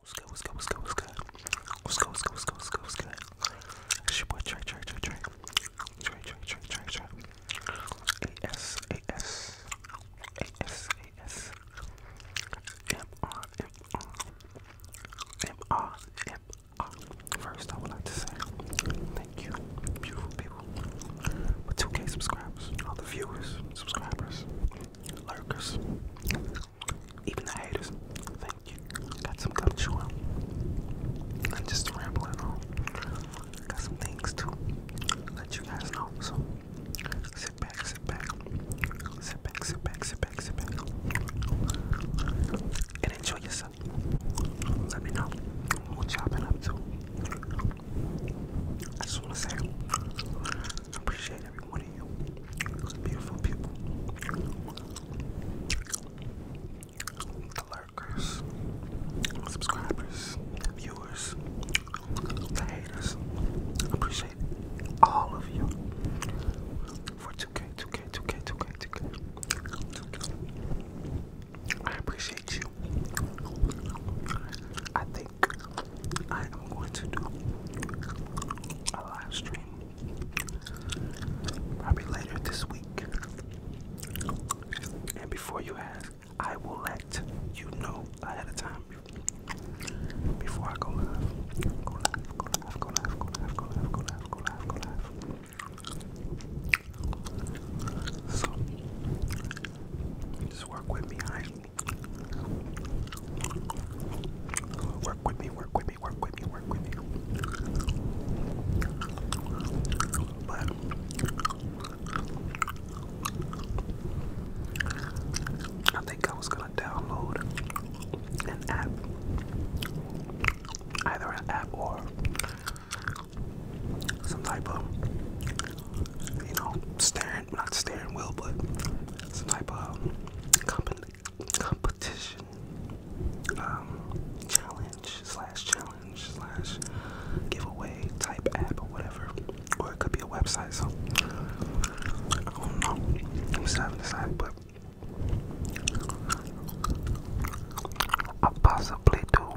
What's good, what's good, what's good, what's good? What's good, what's good, what's good, what's good, what's good? It's your boy Trey, Trey, Trey, Trey. Trey, Trey, Trey, Trey, Trey. A-S, A-S. A-S, A-S. M-R, M-R. M-R, M-R. First, I would like to say thank you, beautiful people, for 2K subscribers, all the viewers, subscribers, lurkers, even the haters. Thank you. Got some gum chewing. I'm just rambling on. Got some things to let you guys know. So sit back, sit back, sit back, sit back, sit back, sit back, and enjoy yourself. Let me know what y'all been up to. I just want to say, I appreciate every of you. It's beautiful people. The lurkers, subscribers, viewers, the haters. I appreciate all of you for 2K, 2K, 2K, 2K, 2K. I appreciate you. I think I am going to do a live stream probably later this week. And before you ask, I will let you know ahead of time before I go live. Go live, go live, go live, go live, go live, go live, go live, go live. just work with me, alright? Work with me, work with me, work with me, work with me. But I think I was gonna download an app, either an app or some type of, you know, steering, not steering wheel, but some type of um, competition, um, challenge slash challenge slash giveaway type app or whatever, or it could be a website. So I don't know. I'm still haven't decided, but I possibly do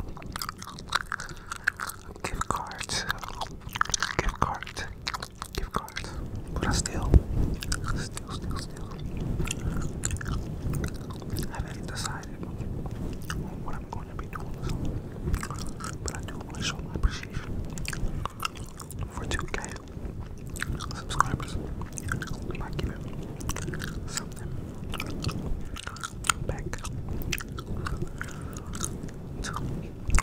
gift cards, gift cards gift cards, but I still, still, still, still haven't decided what I'm going to be doing. But I do want to show my appreciation for 2K subscribers by giving something back to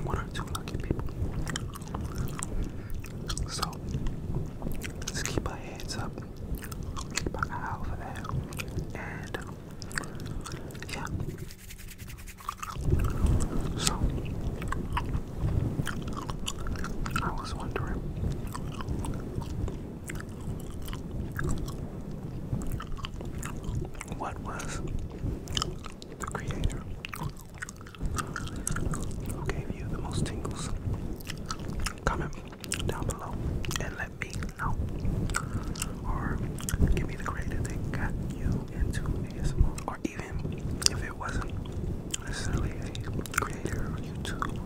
one or two lucky people. So let's keep our heads up, keep our eye out and yeah. So I was wondering. What was the creator who gave you the most tingles? Comment down below and let me know. Or give me the grade that got you into ASMR. Or even if it wasn't necessarily a creator or YouTube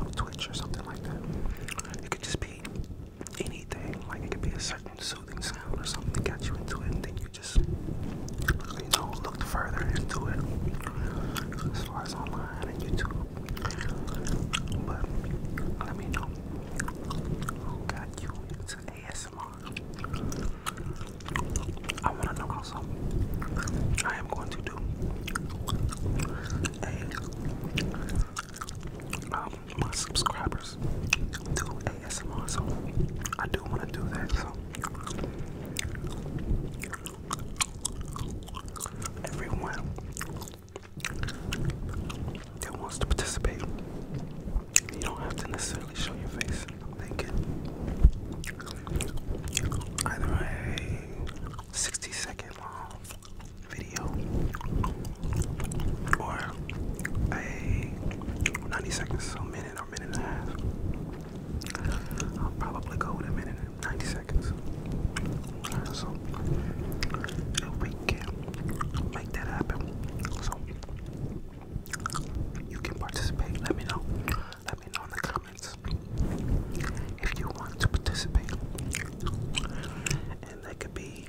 or Twitch or something like that. It could just be anything. Like it could be a certain soothing sound or something that got you into it you just, look further into it as far as online and YouTube. But let me know got you into ASMR. I want to know also. I am going to do um, my subscribers Yes, I'm also. I do want to do that. So everyone that wants to participate, you don't have to necessarily show your face. They can either a 60 second long video or a 90 seconds, so minute minute minute and a half. I'll probably go with a minute and 90 seconds. So we can make that happen. So you can participate. Let me know. Let me know in the comments if you want to participate. And that could be,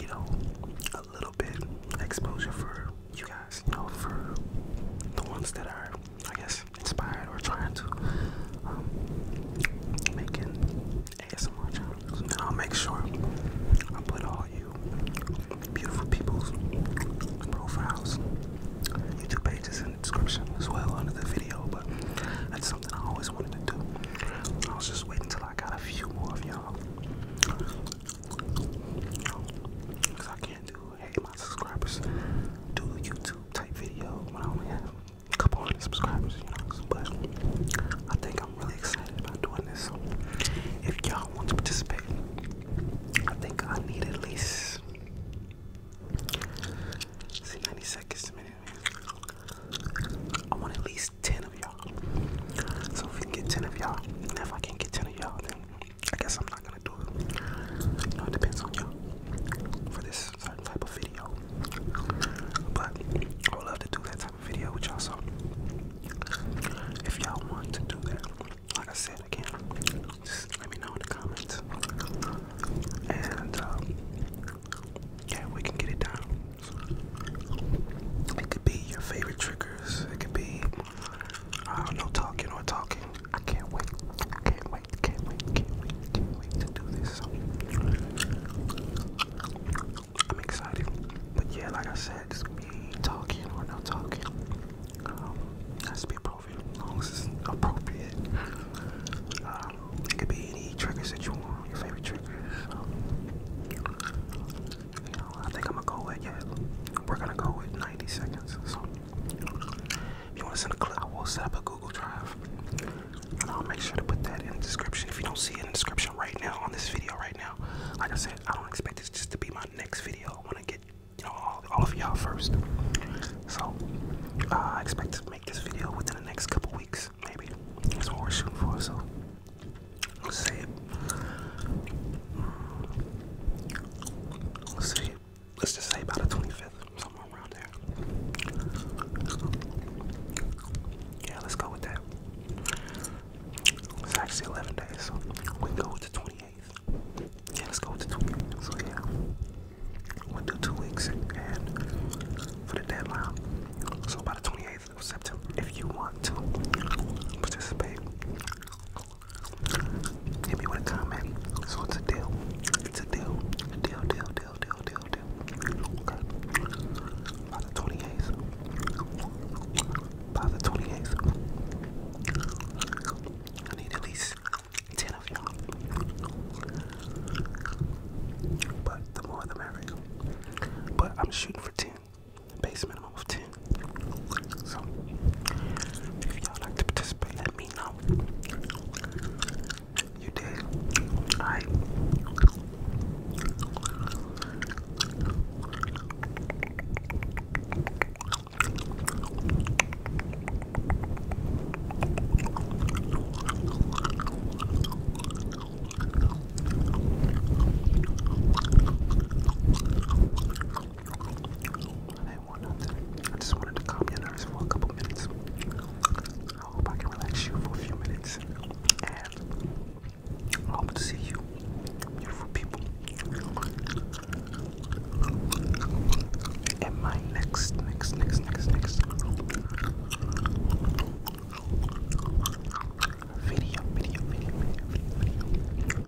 you know, a little bit exposure for you guys, you know, for the ones that are, I guess, inspired or trying to um, ASMR channel. I'll make sure I put all you beautiful people's profiles, YouTube pages in the description as well under the video, but that's something I always wanted to do. I was just waiting until I got a few more of y'all. Because I can't do hey my subscribers do a YouTube type video when I only have a couple hundred subscribers, you know. But I think I'm really excited about doing this. So if y'all want to participate, I think I need at least see 90 seconds to minute. I want at least 10 of y'all. So if we can get 10 of y'all, and if I can't get 10 of y'all, then I guess I'm not gonna do it. it depends on y'all for this certain type of video. But I love to do that type of video with y'all. So if y'all want to do that, like I said again, just let me know in the comments. And um, yeah, we can get it down. It could be your favorite triggers. It could be I don't know talking or talking. I can't wait. Can't wait. Can't wait. Can't wait. Can't wait to do this. I'm excited. But yeah, like I said, it's going be talking or no talking. Um, has to be appropriate. As appropriate. Um, it could be any triggers that you want, your favorite triggers. Um, I think I'm gonna go with yeah. We're gonna go with 90 seconds. So, if you wanna send a clip, I will set up a Google Drive. I'll make sure to put that in the description. If you don't see it in the description right now on this video right now, like I said, I don't expect this just to be my next video. I wanna get you know all, all of y'all first. So uh, I expect to make this video within the next couple weeks, maybe. That's what we're shooting for. So let's say it let's say, let's just say about the 25th, somewhere around there. Yeah, let's go with that. It's actually 11 days, so we go to the 28th. Yeah, let's go to. 28th. So, yeah, we'll do two weeks and for the deadline. So, by the 28th of September, if you want to participate, Hit me with a comment. So it's a deal. It's a deal. deal, deal, deal, deal, deal, deal. Okay. By the 28th. By the 28th. I need at least 10 of y'all. But the more the merrier. But I'm shooting for 10 base minimum of 10. So, if y'all like to participate, let me know. You did. Alright. I just wanted to come in nerves for a couple minutes. I hope I can relax you for a few minutes. And I hope to see you, beautiful people, in my next, next, next, next, next video, video, video, video.